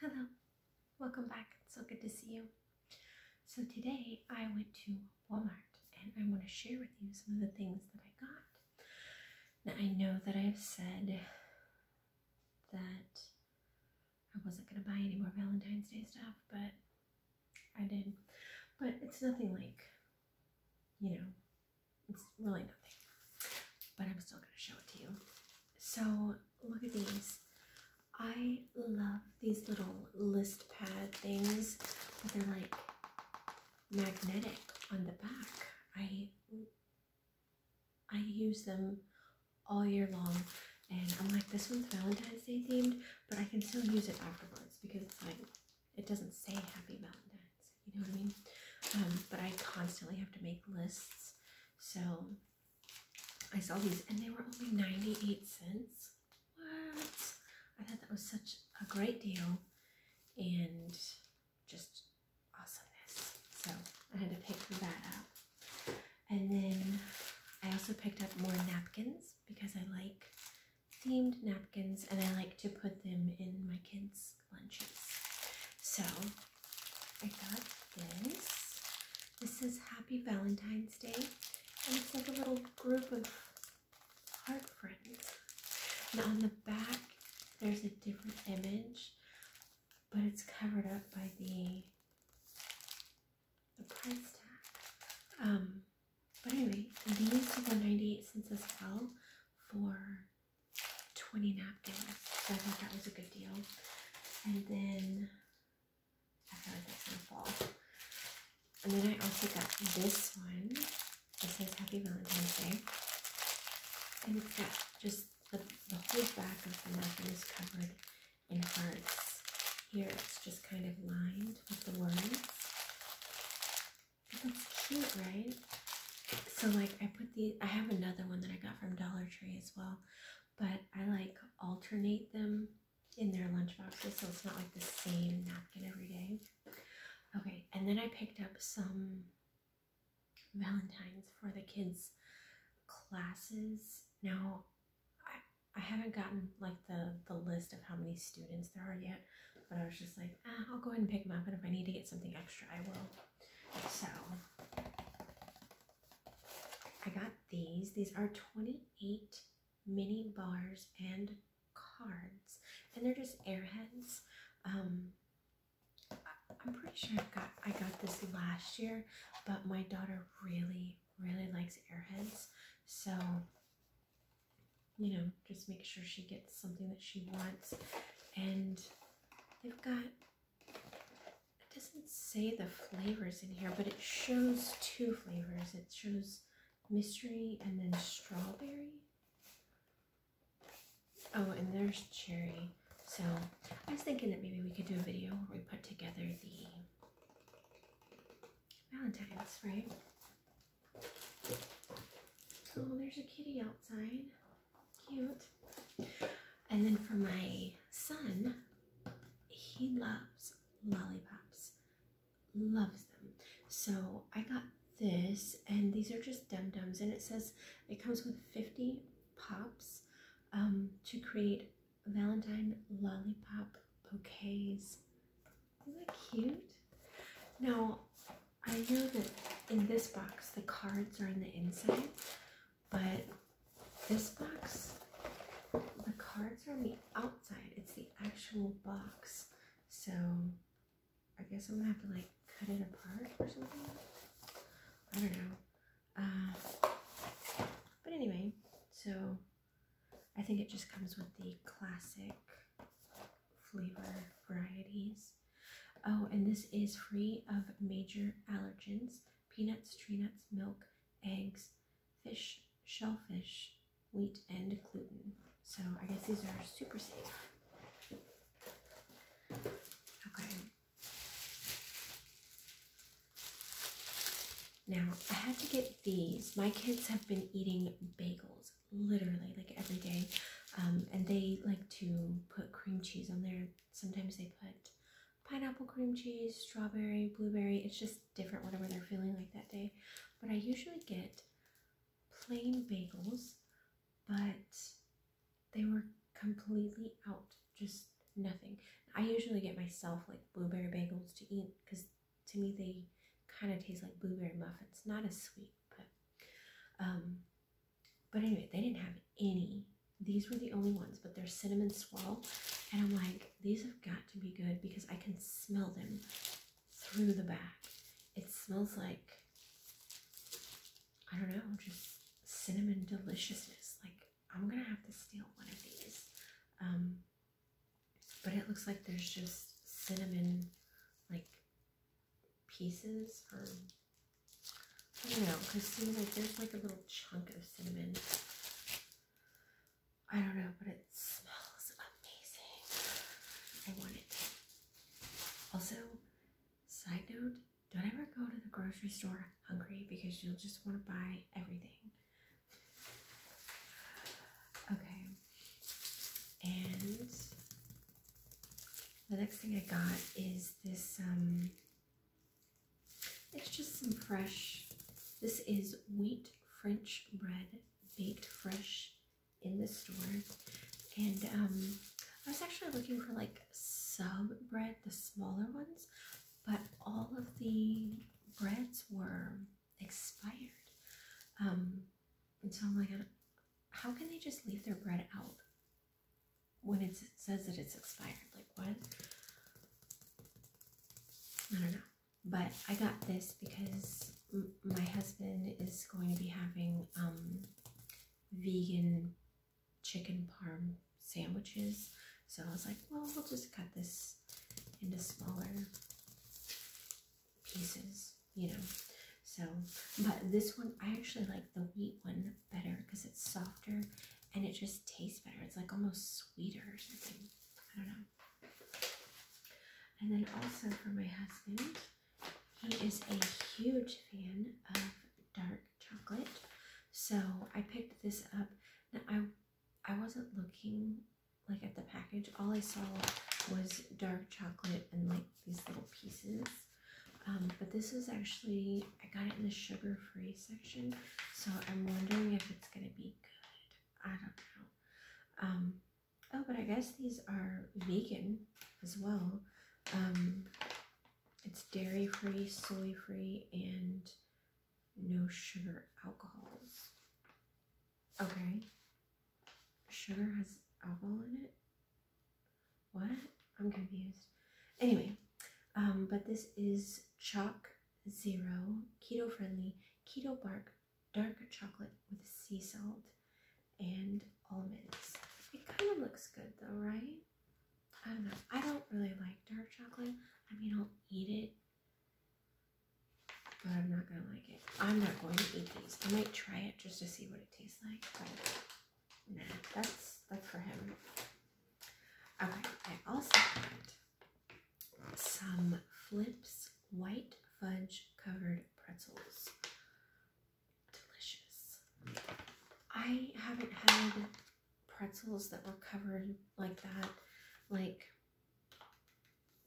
Hello, welcome back. so good to see you. So today I went to Walmart and I want to share with you some of the things that I got. Now I know that I've said that I wasn't going to buy any more Valentine's Day stuff, but I did. But it's nothing like, you know, it's really nothing. But I'm still going to show it to you. So look at these. I love these little list pad things, but they're like magnetic on the back. I I use them all year long, and I'm like, this one's Valentine's Day themed, but I can still use it afterwards because it's like it doesn't say Happy Valentine's. You know what I mean? Um, but I constantly have to make lists, so I saw these and they were only 98 cents. What? I thought that was such a great deal and just awesomeness. So I had to pick that up. And then I also picked up more napkins because I like themed napkins and I like to put them in my kids' lunches. So I got this. This is Happy Valentine's Day. And it's like a little group of heart friends. And on the back, there's a different image, but it's covered up by the, the price tag. Um, but anyway, these were 98 cents as well for 20 napkins. So I think that was a good deal. And then I feel like that's gonna fall. And then I also got this one. It says Happy Valentine's Day. And it's got just the, the whole back of the napkin is covered in hearts. Here it's just kind of lined with the words. That's cute, right? So like I put these, I have another one that I got from Dollar Tree as well, but I like alternate them in their lunch boxes so it's not like the same napkin every day. Okay, and then I picked up some Valentines for the kids' classes. Now, I, I haven't gotten like the, the list of how many students there are yet, but I was just like, ah, I'll go ahead and pick them up, and if I need to get something extra, I will. So, I got these. These are 28 mini bars and cards, and they're just airheads. Um, I'm pretty sure I got I got this last year, but my daughter really really likes airheads, so you know just make sure she gets something that she wants. And they've got it doesn't say the flavors in here, but it shows two flavors. It shows mystery and then strawberry. Oh, and there's cherry. So I was thinking that maybe we could do a video where we put together the Valentine's, right? Oh, there's a kitty outside. Cute. And then for my son, he loves lollipops. Loves them. So I got this, and these are just dum dums, and it says it comes with 50 pops um, to create Valentine lollipop bouquets. Isn't that cute? Now, I know that in this box the cards are in the inside, but this box, the cards are on the outside. It's the actual box. So I guess I'm gonna have to like cut it apart or something. I don't know. Uh, but anyway, so I think it just comes with the classic flavor varieties. Oh, and this is free of major allergens peanuts, tree nuts, milk, eggs, fish, shellfish, wheat, and gluten. So I guess these are super safe. Okay. Now, I had to get these. My kids have been eating bagels literally like every day. Um, and they like to put cream cheese on there. Sometimes they put pineapple cream cheese, strawberry, blueberry. It's just different, whatever they're feeling like that day. But I usually get plain bagels, but they were completely out, just nothing. I usually get myself like blueberry bagels to eat because to me they kind of taste like blueberry muffins, not as sweet, but um, but anyway, they didn't have any these were the only ones, but they're cinnamon swirl. And I'm like, these have got to be good because I can smell them through the bag. It smells like, I don't know, just cinnamon deliciousness. Like, I'm gonna have to steal one of these. Um, but it looks like there's just cinnamon, like, pieces or I don't know, because see, like, there's like a little chunk of cinnamon. I don't know, but it smells amazing. I want it. Also, side note, don't ever go to the grocery store hungry because you'll just want to buy everything. Okay. And the next thing I got is this um it's just some fresh. This is wheat French bread baked fresh in the store. And um, I was actually looking for like sub bread, the smaller ones, but all of the breads were expired. Um, and so I'm like, how can they just leave their bread out? when it says that it's expired. Like, what? I don't know. But I got this because my husband is going to be having um, vegan chicken parm sandwiches. So I was like, well, we'll just cut this into smaller pieces, you know. So, but this one, I actually like the wheat one better because it's softer and it just tastes better. It's like almost sweeter or something. I don't know. And then also for my husband, he is a huge fan of dark chocolate. So I picked this up. I I wasn't looking like at the package. All I saw was dark chocolate and like these little pieces. Um, but this is actually I got it in the sugar free section, so I'm wondering if it's gonna be good. I don't know. Um, oh, but I guess these are vegan as well. Um, it's dairy free, soy free, and no sugar alcohols. Okay. Sugar has alcohol in it? What? I'm confused. Anyway, um, but this is chalk zero, keto friendly, keto bark, dark chocolate with sea salt and almonds. It kind of looks good though, right? I don't know. I don't really like dark chocolate. I mean, I'll eat it, but I'm not gonna like it. I'm not going to eat these. I might try it just to see what it tastes like, but nah, that's that's for him. Okay, I also got some Flips white fudge covered pretzels. Delicious. I haven't had pretzels that were covered like that, like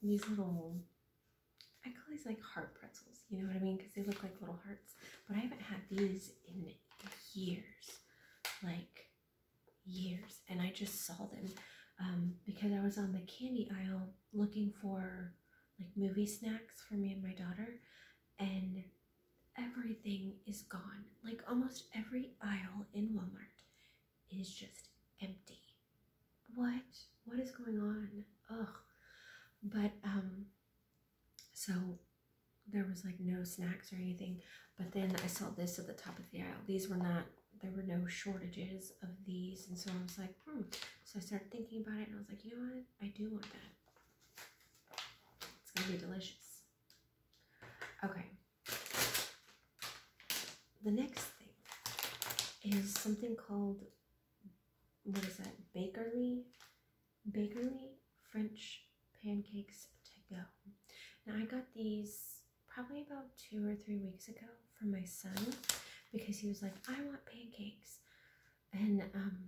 these little, I call these like heart pretzels, you know what I mean? Because they look like little hearts, but I haven't had these in years. Like, years, and I just saw them um, because I was on the candy aisle looking for like movie snacks for me and my daughter, and everything is gone. Like almost every aisle in Walmart is just empty. What? What is going on? Ugh. But um, so there was like no snacks or anything. But then I saw this at the top of the aisle. These were not, there were no shortages of these. And so I was like, hmm. So I started thinking about it and I was like, you know what? I do want that. It's going to be delicious. Okay. The next thing is something called, what is that? Bakerly? Bakerly French pancakes to go. Now I got these probably about two or three weeks ago from my son because he was like, I want pancakes. And, um,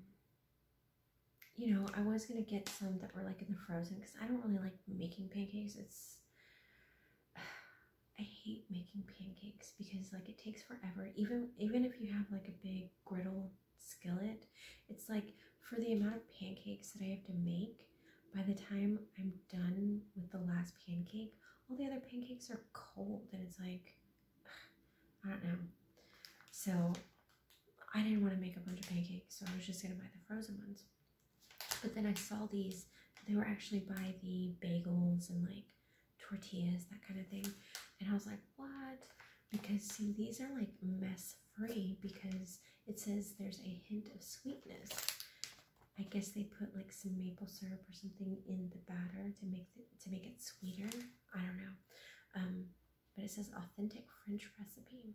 you know, I was going to get some that were like in the frozen because I don't really like making pancakes. It's, I hate making pancakes because like it takes forever. Even, even if you have like a big griddle skillet, it's like for the amount of pancakes that I have to make, by the time I'm done with the last pancake, all the other pancakes are cold and it's like, I don't know. So I didn't want to make a bunch of pancakes, so I was just gonna buy the frozen ones. But then I saw these, they were actually by the bagels and like tortillas, that kind of thing. And I was like, what? Because see, these are like mess free because it says there's a hint of sweetness. I guess they put like some maple syrup or something in the batter to make to make it sweeter. I don't know. Um, but it says authentic French recipe.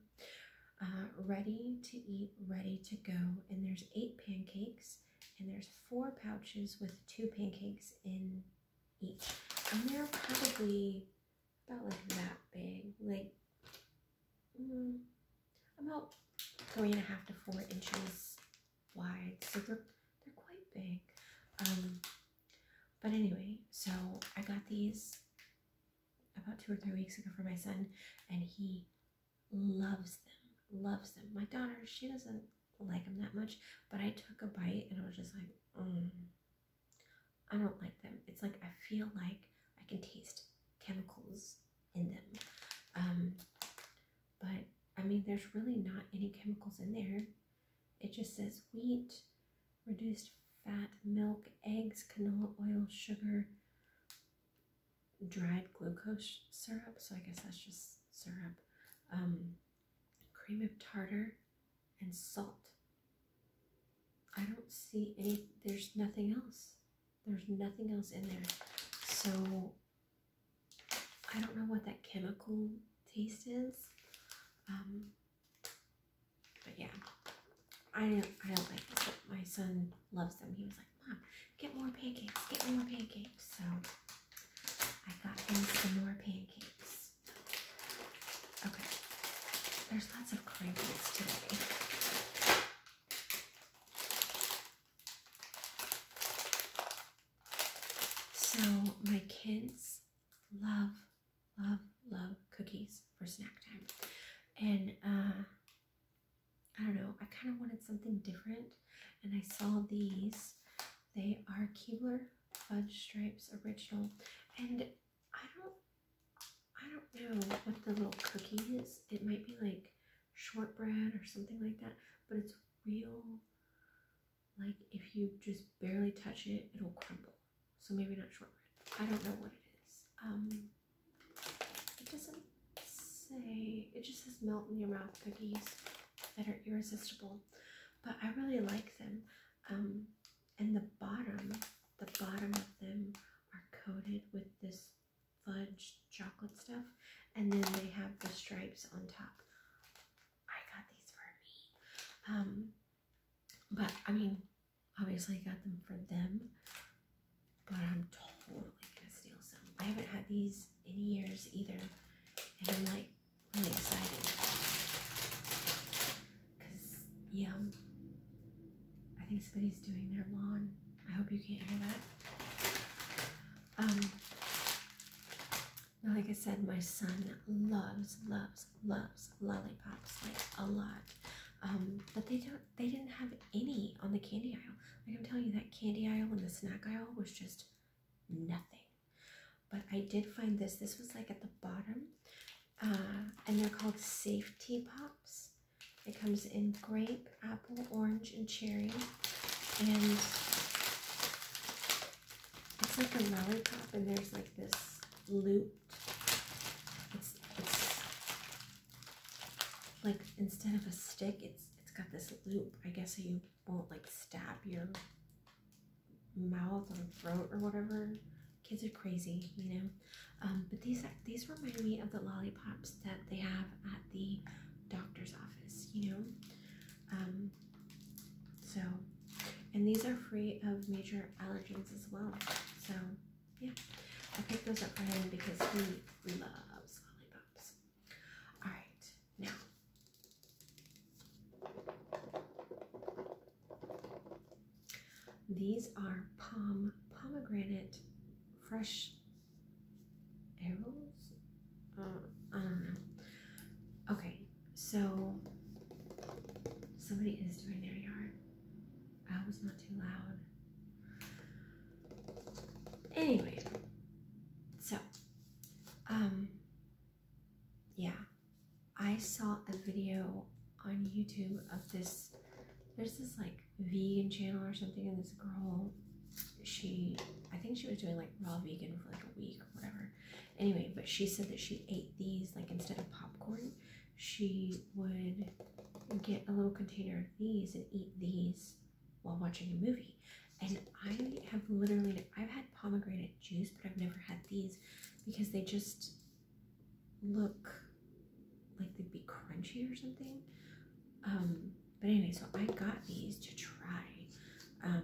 Uh, ready to eat, ready to go. And there's eight pancakes and there's four pouches with two pancakes in each. And they're probably about like that big. Like mm, about three and a half to four inches wide. So they're, quite big. Um, but anyway, so I got these about two or three weeks ago for my son, and he loves them, loves them. My daughter, she doesn't like them that much, but I took a bite and I was just like, mm, I don't like them. It's like I feel like I can taste chemicals in them. Um, but I mean, there's really not any chemicals in there. It just says wheat, reduced fat, milk, eggs, canola oil, sugar, dried glucose syrup. So I guess that's just syrup. Um, cream of tartar and salt. I don't see any, there's nothing else. There's nothing else in there. So I don't know what that chemical taste is. Um, but yeah, I don't, I don't like this, my son loves them. He was like, Mom, get more pancakes, get more pancakes. So I got him some more pancakes. Okay, there's lots of crinkles today. So my kids love, love, love cookies for snack time. And uh, I don't know, I kind of wanted something different. And I saw these. They are Keebler Fudge Stripes Original. And I don't I don't know what the little cookie is. It might be like shortbread or something like that, but it's real. Like if you just barely touch it, it'll crumble. So maybe not shortbread. I don't know what it is. Um, it doesn't say. It just says melt in your mouth cookies that are irresistible. But I really like them. Um, and the bottom, the bottom of them are coated with this fudge chocolate stuff. And then they have the stripes on top. I got these for me. Um, but I mean, obviously I got them for them. But I'm totally gonna steal some. I haven't had these in years either. And I'm like really excited. Cause yeah, I think somebody's doing their lawn. I hope you can't hear that. Um, like I said, my son loves, loves, loves lollipops like a lot. Um, but they don't they didn't have any on the candy aisle. Like I'm telling you, that candy aisle and the snack aisle was just nothing. But I did find this. This was like at the bottom. Uh, and they're called safety pops. It comes in grape, apple, orange, and cherry. And it's like a lollipop, and there's like this loop. It's, it's like instead of a stick, it's it's got this loop. I guess so you won't like stab your mouth or throat or whatever. Kids are crazy, you know. Um, but these these remind me of the lollipops that they have at the doctor's office, you know. Um, so, and these are free of major allergens as well. So, yeah, I picked those up for him because he loves lollipops. All right, now. These are palm pomegranate fresh arrows? Uh, I don't know. Okay, so somebody is doing their yard. I was not too loud. Anyway, so, um, yeah, I saw a video on YouTube of this. There's this like vegan channel or something, and this girl, she, I think she was doing like raw vegan for like a week or whatever. Anyway, but she said that she ate these like instead of popcorn, she would get a little container of these and eat these while watching a movie. And I have literally, I've had pomegranate juice, but I've never had these because they just look like they'd be crunchy or something. Um, but anyway, so I got these to try. Um,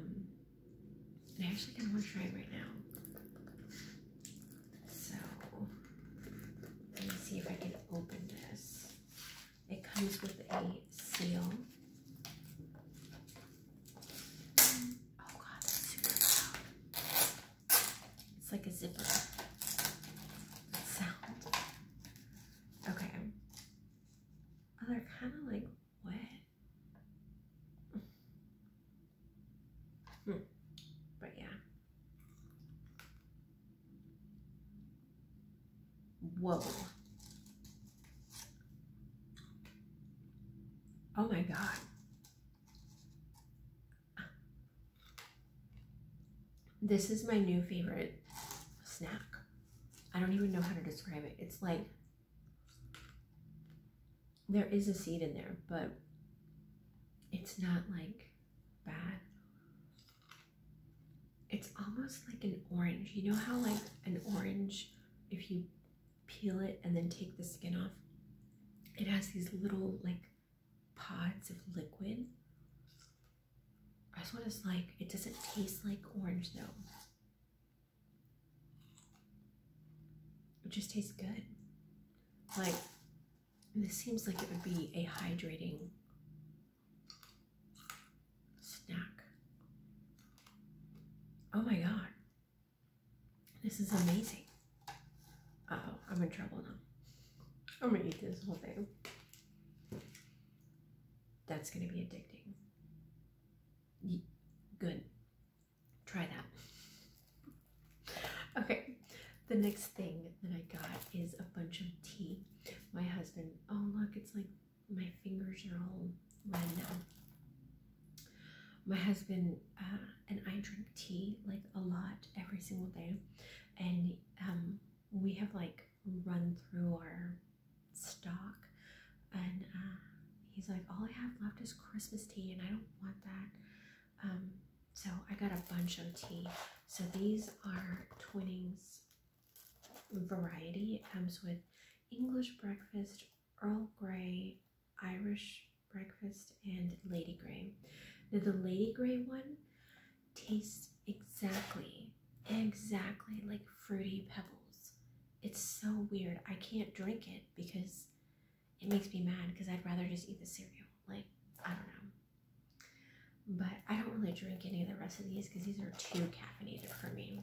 and I actually kind of want to try it right now. So let me see if I can open this. It comes with a seal. Oh god, that's super loud. It's like a zipper sound. Okay. Oh, they're kind of like what? Hmm. But yeah. Whoa. Oh my god. This is my new favorite snack. I don't even know how to describe it. It's like there is a seed in there, but it's not like bad. It's almost like an orange. You know how like an orange, if you peel it and then take the skin off, it has these little like pods of liquid. That's what it's like. It doesn't taste like orange though. It just tastes good. Like, this seems like it would be a hydrating snack. Oh my god. This is amazing. oh, I'm in trouble now. I'm gonna eat this whole thing. That's gonna be addicting. Good. Try that. Okay, the next thing that I got is a bunch of tea. My husband, oh look, it's like my fingers are all red now. My husband uh, and I drink tea like a lot every single day, and um, we have like run through our stock and uh, he's like all i have left is christmas tea and i don't want that um, so i got a bunch of tea so these are twinnings variety it comes with english breakfast earl grey irish breakfast and lady grey now the lady grey one tastes exactly, exactly like fruity pebbles. It's so weird. I can't drink it because it makes me mad because I'd rather just eat the cereal. Like, I don't know. But I don't really drink any of the rest of these because these are too caffeinated for me.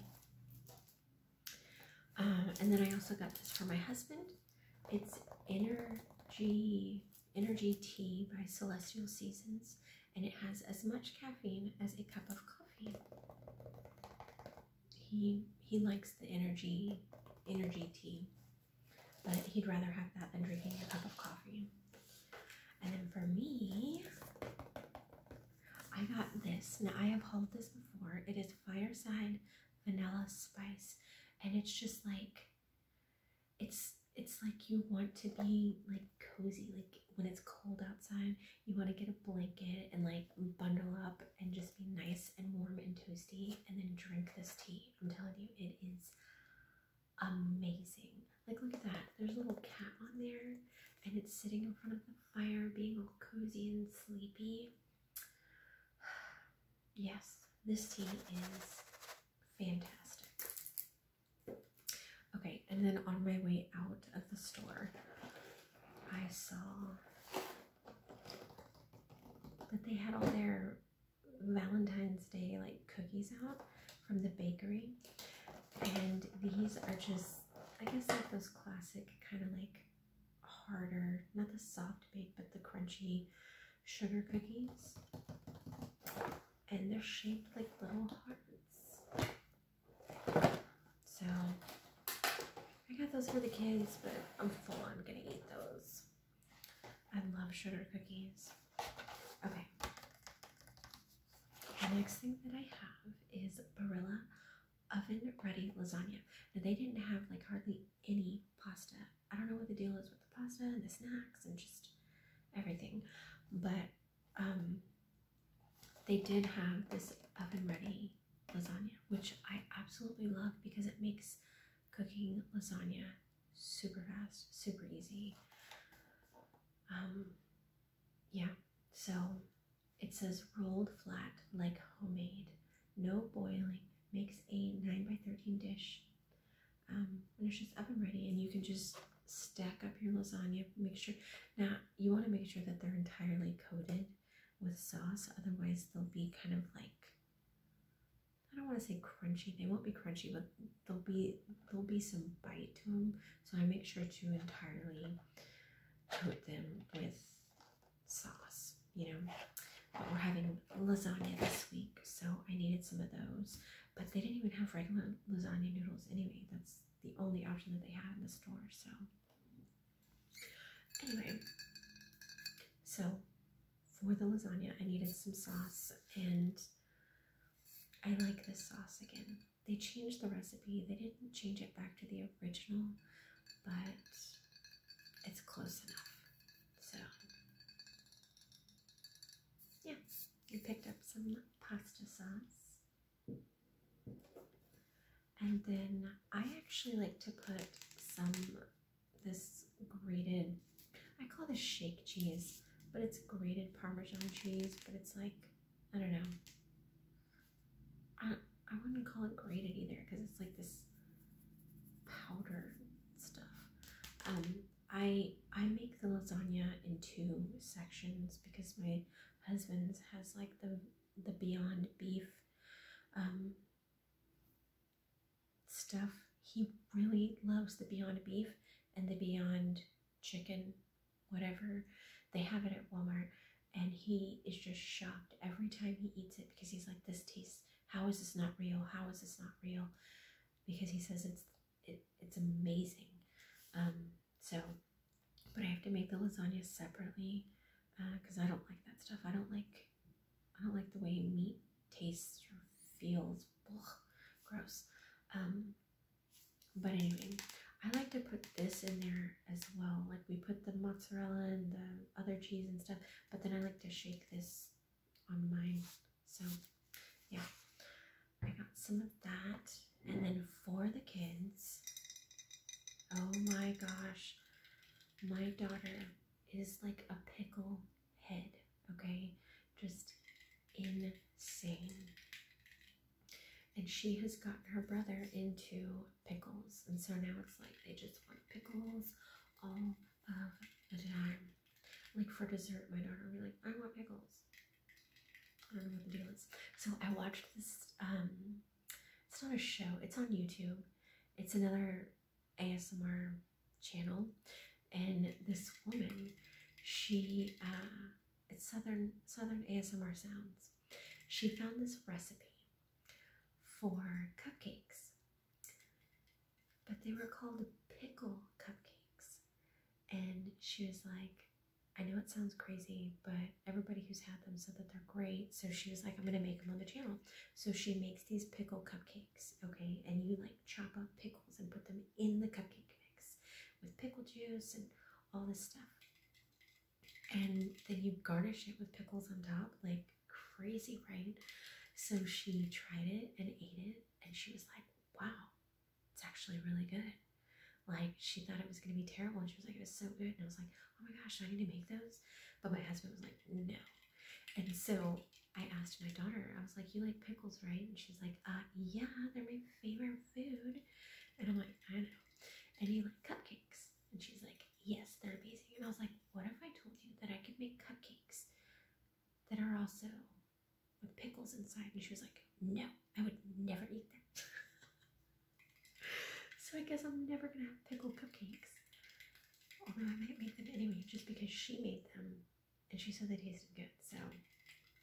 Um, and then I also got this for my husband. It's energy energy tea by Celestial Seasons, and it has as much caffeine as a cup of coffee. He he likes the energy energy tea, but he'd rather have that than drinking a cup of coffee. And then for me, I got this. Now I have hauled this before. It is fireside vanilla spice, and it's just like it's it's like you want to be like cozy like when it's cold outside you want to get a blanket and like bundle up and just be nice and warm and toasty and then drink this tea i'm telling you it is amazing like look at that there's a little cat on there and it's sitting in front of the fire being all cozy and sleepy yes this tea is fantastic Okay, and then on my way out of the store, I saw that they had all their Valentine's Day like cookies out from the bakery. And these are just, I guess, like those classic kind of like harder, not the soft bake, but the crunchy sugar cookies and they're shaped like little hearts. So I got those for the kids, but I'm full. I'm gonna eat those. I love sugar cookies. Okay. The next thing that I have is Barilla oven ready lasagna. Now they didn't have like hardly any pasta. I don't know what the deal is with the pasta and the snacks and just everything, but um, they did have this oven ready lasagna, which I absolutely love because it makes cooking lasagna super fast, super easy. Um, yeah, so it says rolled flat like homemade, no boiling, makes a 9 by 13 dish. Um, and it's just oven ready, and you can just stack up your lasagna. Make sure now you want to make sure that they're entirely coated with sauce, otherwise, they'll be kind of like I don't want to say crunchy. They won't be crunchy, but there'll be there'll be some bite to them. So I make sure to entirely coat them with sauce. You know, but we're having lasagna this week, so I needed some of those but they didn't even have regular lasagna noodles anyway. That's the only option that they had in the store. So, anyway, so for the lasagna, I needed some sauce, and I like this sauce again. They changed the recipe, they didn't change it back to the original, but it's close enough. So, yeah. We picked up some pasta sauce. And then I actually like to put some this grated, I call this shake cheese, but it's grated Parmesan cheese, but it's like, I don't know. I, I wouldn't call it grated either because it's like this powder stuff. Um, I I make the lasagna in two sections because my husband has like the the Beyond Beef um, stuff. He really loves the Beyond Beef and the Beyond Chicken, whatever. They have it at Walmart, and he is just shocked every time he eats it because he's like, "This tastes. How is this not real? How is this not real?" Because he says it's it, it's amazing. Um, so, but I have to make the lasagna separately because uh, I don't like that stuff. I don't like I don't like the way meat tastes or feels. gross. Um, but anyway, I like to put this in there as well. Like we put the mozzarella and the other cheese and stuff, but then I like to shake this on mine. So yeah, I got some of that. And then for the kids, oh my gosh, my daughter is like a pickle head, okay? Just insane. And she has gotten her brother into pickles. And so now it's like they just want pickles all of the time. Like for dessert, my daughter will be like, I want pickles. I don't know what the deal is. So I watched this. Um, it's not a show. It's on YouTube. It's another ASMR channel, and this woman, she, uh, it's southern southern ASMR sounds. She found this recipe for cupcakes, but they were called pickle cupcakes, and she was like, I know it sounds crazy, but everybody who's had them said that they're great. So she was like, I'm going to make them on the channel. So she makes these pickle cupcakes, okay? And you like chop up pickles and put them in the cupcake mix with pickle juice and all this stuff. And then you garnish it with pickles on top, like crazy, right? So she tried it and ate it, and she was like, wow, it's actually really good. Like she thought it was gonna be terrible and she was like, it was so good. And I was like, oh my gosh, I need to make those. But my husband was like, no. And so I asked my daughter, I was like, you like pickles, right? And she's like, uh, yeah, they're my favorite food. And I'm like, I know. And you like cupcakes. And she's like, yes, they're amazing. And I was like, what if I told you that I could make cupcakes that are also with pickles inside. And she was like, no, I would never eat that. so I guess I'm never gonna have pickle cupcakes. Although I might make them anyway, just because she made them and she said they tasted good. So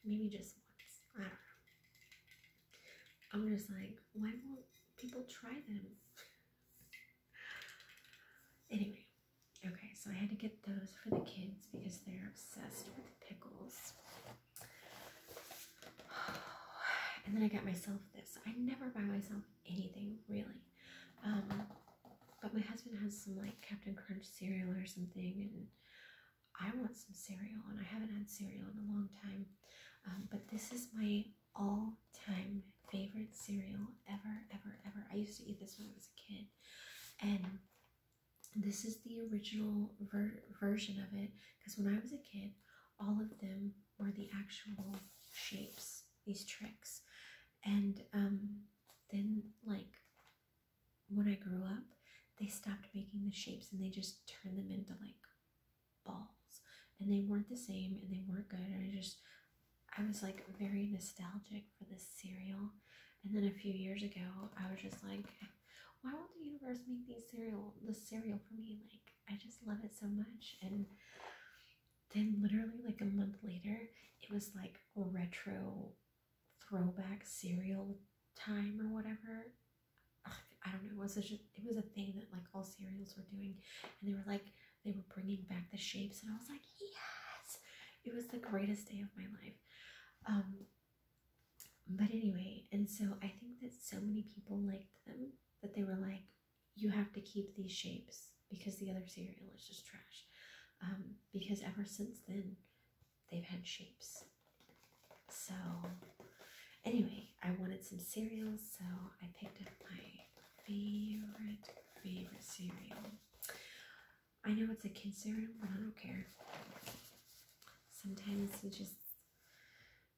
maybe just once. I don't know. I'm just like, why won't people try them? anyway, okay, so I had to get those for the kids because they're obsessed with pickles. And then I got myself this. I never buy myself anything really. Um, but my husband has some like Captain Crunch cereal or something, and I want some cereal, and I haven't had cereal in a long time. Um, but this is my all time favorite cereal ever, ever, ever. I used to eat this when I was a kid, and this is the original ver version of it because when I was a kid, all of them were the actual shapes, these tricks. And um, then, like, when I grew up, they stopped making the shapes and they just turned them into like balls. And they weren't the same and they weren't good. And I just, I was like very nostalgic for this cereal. And then a few years ago, I was just like, why won't the universe make these cereal the cereal for me? Like I just love it so much. And then literally like a month later, it was like retro throwback cereal time or whatever. I don't know. It was such a, it was a thing that like all cereals were doing, and they were like they were bringing back the shapes, and I was like, yes, it was the greatest day of my life. Um, but anyway, and so I think that so many people liked them that they were like, you have to keep these shapes because the other cereal is just trash. Um, because ever since then, they've had shapes. So, anyway, I wanted some cereals, so I picked up my favorite, favorite cereal. I know it's a kid cereal, but I don't care. Sometimes you just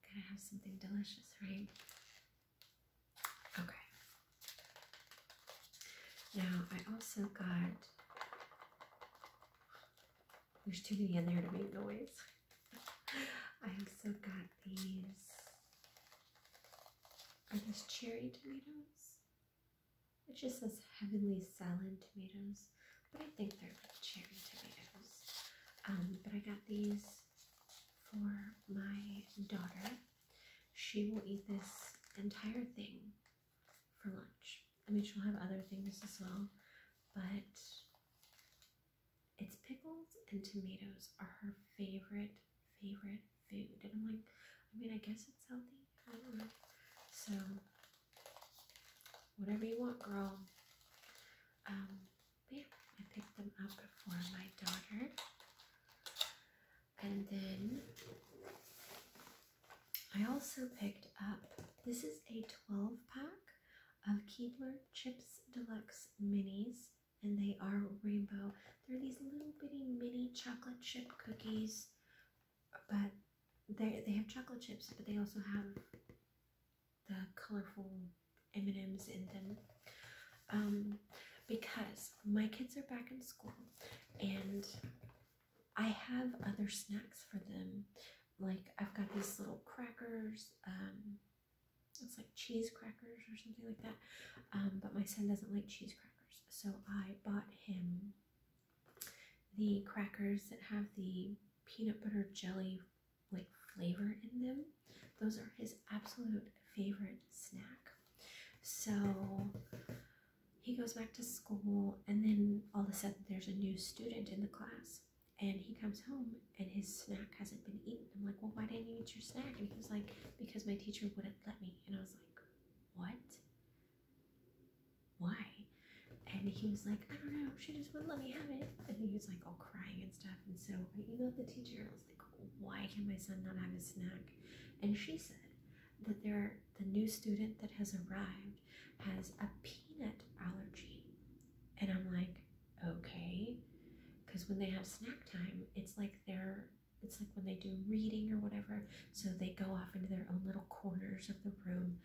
Gotta have something delicious, right? Okay. Now, I also got. There's too many in there to make noise. I also got these. Are these cherry tomatoes? It just says heavenly salad tomatoes but I think they're cherry tomatoes. Um, but I got these for my daughter. She will eat this entire thing for lunch. I mean, she'll have other things as well, but it's pickles and tomatoes are her favorite, favorite food. And I'm like, I mean, I guess it's healthy. I don't know. So whatever you want, girl. Um, yeah, I picked them up for my daughter. And then I also picked up this is a 12 pack of Keebler Chips Deluxe Minis, and they are rainbow. They're these little bitty mini chocolate chip cookies, but they they have chocolate chips, but they also have the colorful M&Ms in them um, because my kids are back in school and I have other snacks for them. Like I've got these little crackers, um, it's like cheese crackers or something like that. Um, but my son doesn't like cheese crackers, so I bought him the crackers that have the peanut butter jelly like flavor in them. Those are his absolute favorite snack. So he goes back to school, and then all of a sudden, there's a new student in the class. And he comes home and his snack hasn't been eaten. I'm like, well, why didn't you eat your snack? And he's like, because my teacher wouldn't let me. And I was like, what? Why? And he was like, I don't know, she just wouldn't let me have it. And he was like all crying and stuff. And so I emailed the teacher. I was like, why can my son not have a snack? And she said that there, the new student that has arrived has a peanut allergy. And I'm like, okay. Because when they have snack time, it's like they're it's like when they do reading or whatever, so they go off into their own little corners of the room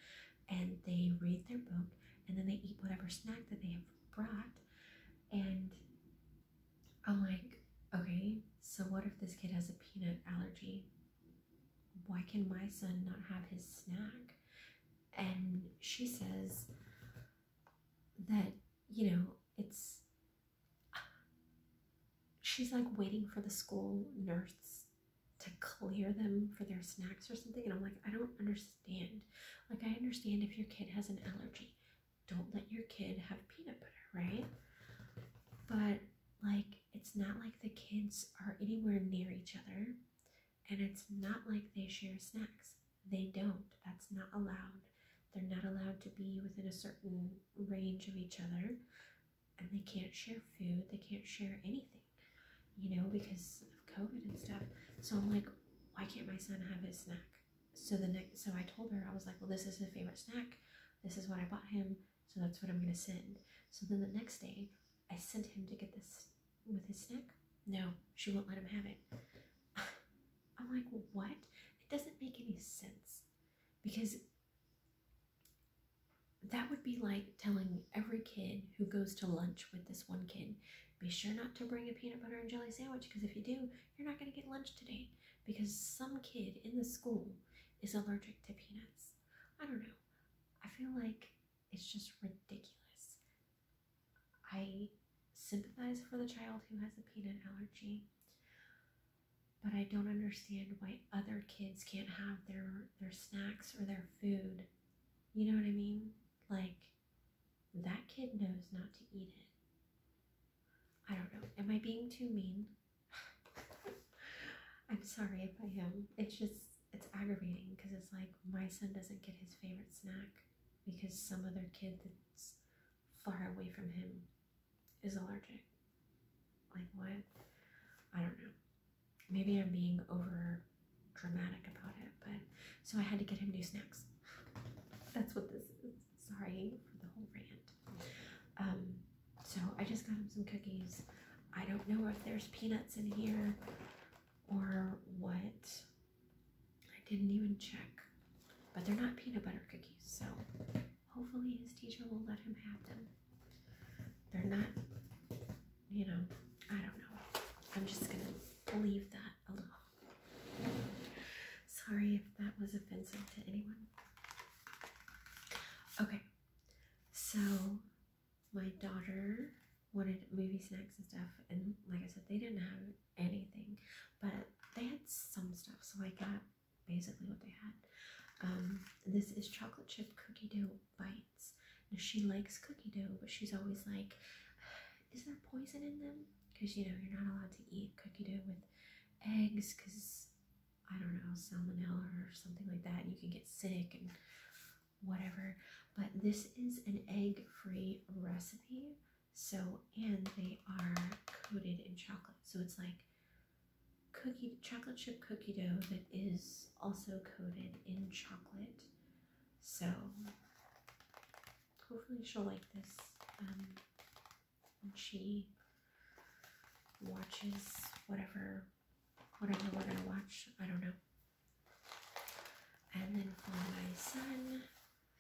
and they read their book and then they eat whatever snack that they have brought. And I'm like, okay, so what if this kid has a peanut allergy? Why can my son not have his snack? And she says that, you know, it's. She's like waiting for the school nurse to clear them for their snacks or something. And I'm like, I don't understand. Like, I understand if your kid has an allergy, don't let your kid have peanut butter, right? But like, it's not like the kids are anywhere near each other, and it's not like they share snacks. They don't. That's not allowed. They're not allowed to be within a certain range of each other, and they can't share food, they can't share anything you know, because of COVID and stuff. So I'm like, why can't my son have his snack? So the next, so I told her I was like, well, this is his favorite snack. This is what I bought him. So that's what I'm gonna send. So then the next day, I sent him to get this with his snack. No, she won't let him have it. I'm like, what? It doesn't make any sense because that would be like telling every kid who goes to lunch with this one kid be sure not to bring a peanut butter and jelly sandwich because if you do, you're not going to get lunch today because some kid in the school is allergic to peanuts. I don't know. I feel like it's just ridiculous. I sympathize for the child who has a peanut allergy, but I don't understand why other kids can't have their their snacks or their food. You know what I mean? Like that kid knows not to eat it. I don't know. Am I being too mean? I'm sorry if I am. It's just, it's aggravating because it's like my son doesn't get his favorite snack because some other kid that's far away from him is allergic. Like, what? I don't know maybe I'm being over dramatic about it, but so I had to get him new snacks. That's what this is. Sorry for the whole rant. Um, so I just got him some cookies. I don't know if there's peanuts in here or what. I didn't even check, but they're not peanut butter cookies, so hopefully his teacher will let him have them. They're not you know, I don't know. I'm just gonna leave that alone. Sorry if that was offensive to anyone. Okay, so my daughter wanted movie snacks and stuff, and like I said, they didn't have anything, but they had some stuff, so I got basically what they had. Um, this is chocolate chip cookie dough bite she likes cookie dough, but she's always like, is there poison in them? Because, you know, you're not allowed to eat cookie dough with eggs because, I don't know, salmonella or something like that. and You can get sick and whatever. But this is an egg-free recipe. So, and they are coated in chocolate. So it's like cookie, chocolate chip cookie dough that is also coated in chocolate. So hopefully she'll like this um, when she watches whatever whatever we I watch. I don't know. And then for my son,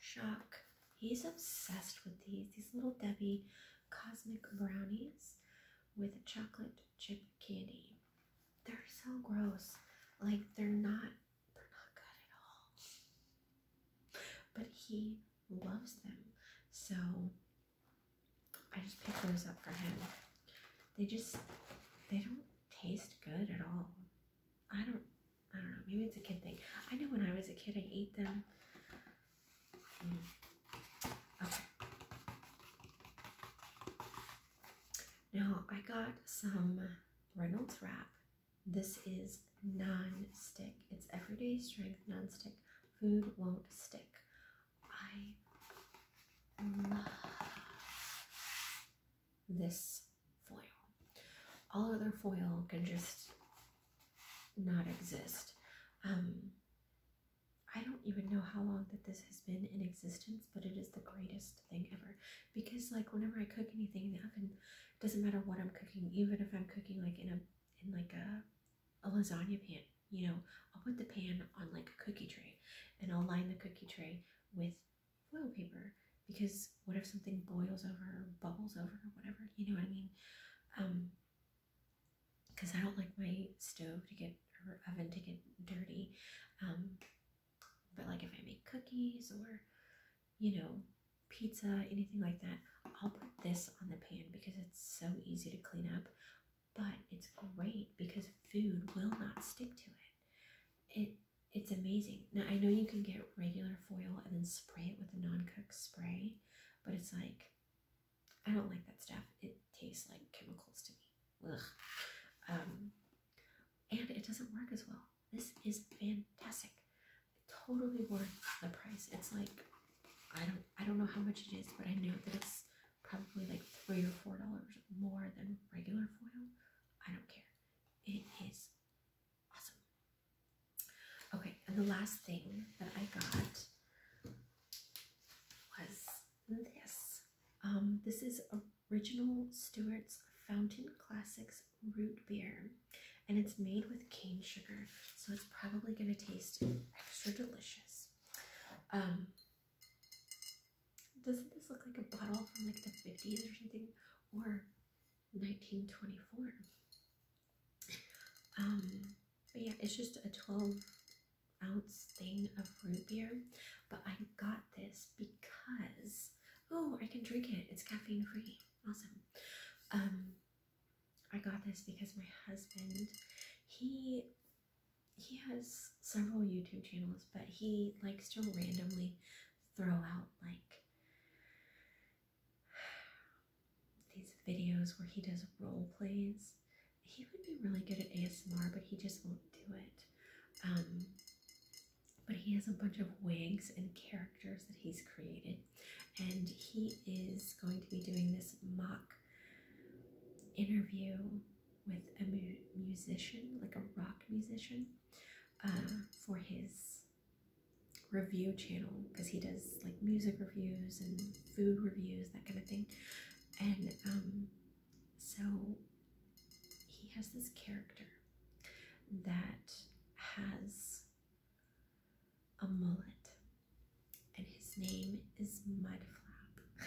Shock, he's obsessed with these these little Debbie cosmic brownies with chocolate chip candy. They're so gross. Like they're not they're not good at all. But he loves them. So I just picked those up for him. They just they don't taste good at all. I don't I don't know, maybe it's a kid thing. I know when I was a kid I ate them. Hmm. Now I got some Reynolds Wrap. This is non-stick. It's everyday strength non-stick. Food won't stick. I love this foil. All other foil can just not exist. Um, I don't even know how long that this has been in existence, but it is the greatest thing ever because like whenever I cook anything in the oven, doesn't matter what I'm cooking, even if I'm cooking like in a in like a a lasagna pan, you know, I'll put the pan on like a cookie tray and I'll line the cookie tray with foil paper because what if something boils over bubbles over whatever, you know what I mean? Um because I don't like my stove to get or oven to get dirty. Um but like if I make cookies or, you know, pizza, anything like that, I'll put this on the pan because it's so easy to clean up. But it's great because food will not stick to it. It it's amazing. Now I know you can get regular foil and then spray it with a non-cook spray, but it's like I don't like that stuff. It tastes like chemicals to me. Ugh. Um, and it doesn't work as well this is fantastic. Totally worth the price. It's like I don't I don't know how much it is, but I know that it's probably like three or four dollars more than regular foil. I don't care. It is awesome. Okay, and the last thing that I got was this. Um, this is a original Stewart's Fountain Classics root beer, and it's made with cane sugar, so it's probably going to taste extra delicious. Um, doesn't this look like a bottle from like the 50s or something, or 1924? Um, but yeah, it's just a 12 ounce thing of root beer, but I got this because Oh, I can drink it. It's caffeine free. Awesome. Um, I got this because my husband, he he has several YouTube channels, but he likes to randomly throw out like these videos where he does role plays. He would be really good at ASMR, but he just won't do it. Um, but he has a bunch of wigs and characters that he's created. And he is going to be doing this mock interview with a musician, like a rock musician, uh, for his review channel because he does like music reviews and food reviews, that kind of thing. And um, so he has this character that has a mullet, and his name is Mudflap.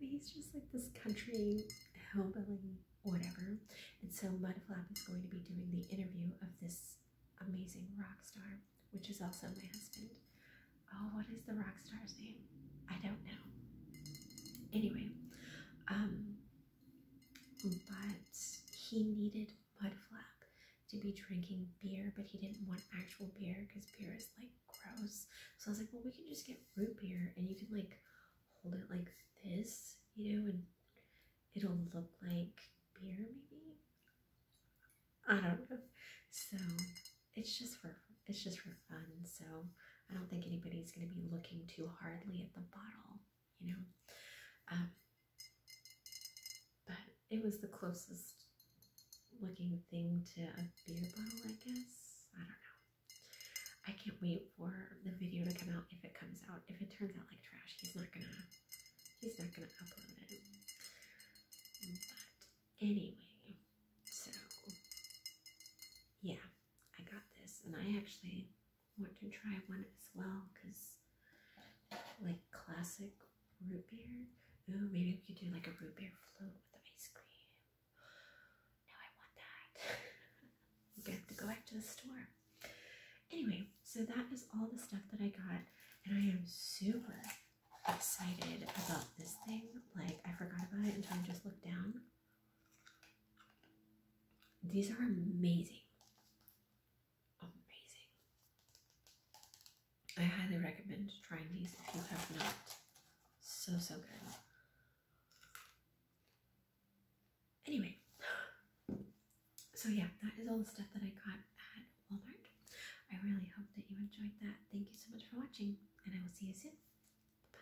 and he's just like this country hillbilly, whatever. And so Mudflap is going to be doing the interview of this amazing rock star, which is also my husband. Oh, what is the rock star's name? I don't know. Anyway, um, but he needed mudflap to be drinking beer, but he didn't want actual beer because beer is like gross. So I was like, well, we can just get root beer and you can like hold it like this, you know, and it'll look like beer maybe. I don't know. So it's just for it's just for fun. So I don't think anybody's going to be looking too hardly at the bottle, you know. Um, but it was the closest looking thing to a beer bottle, I guess. I don't know. I can't wait for the video to come out if it comes out. If it turns out like trash, he's not gonna he's not gonna upload it. But anyway, so yeah, I got this and I actually want to try one as well because like classic root beer. Ooh, maybe we could do like a root beer float with ice cream. Now I want that. I'm gonna have to go back to the store. Anyway, so that is all the stuff that I got, and I am super excited about this thing. Like I forgot about it until I just looked down. These are amazing. Amazing. I highly recommend trying these if you have not. So, so good. Anyway, so yeah, that is all the stuff that I got at Walmart. I really hope that you enjoyed that. Thank you so much for watching, and I will see you soon. Bye.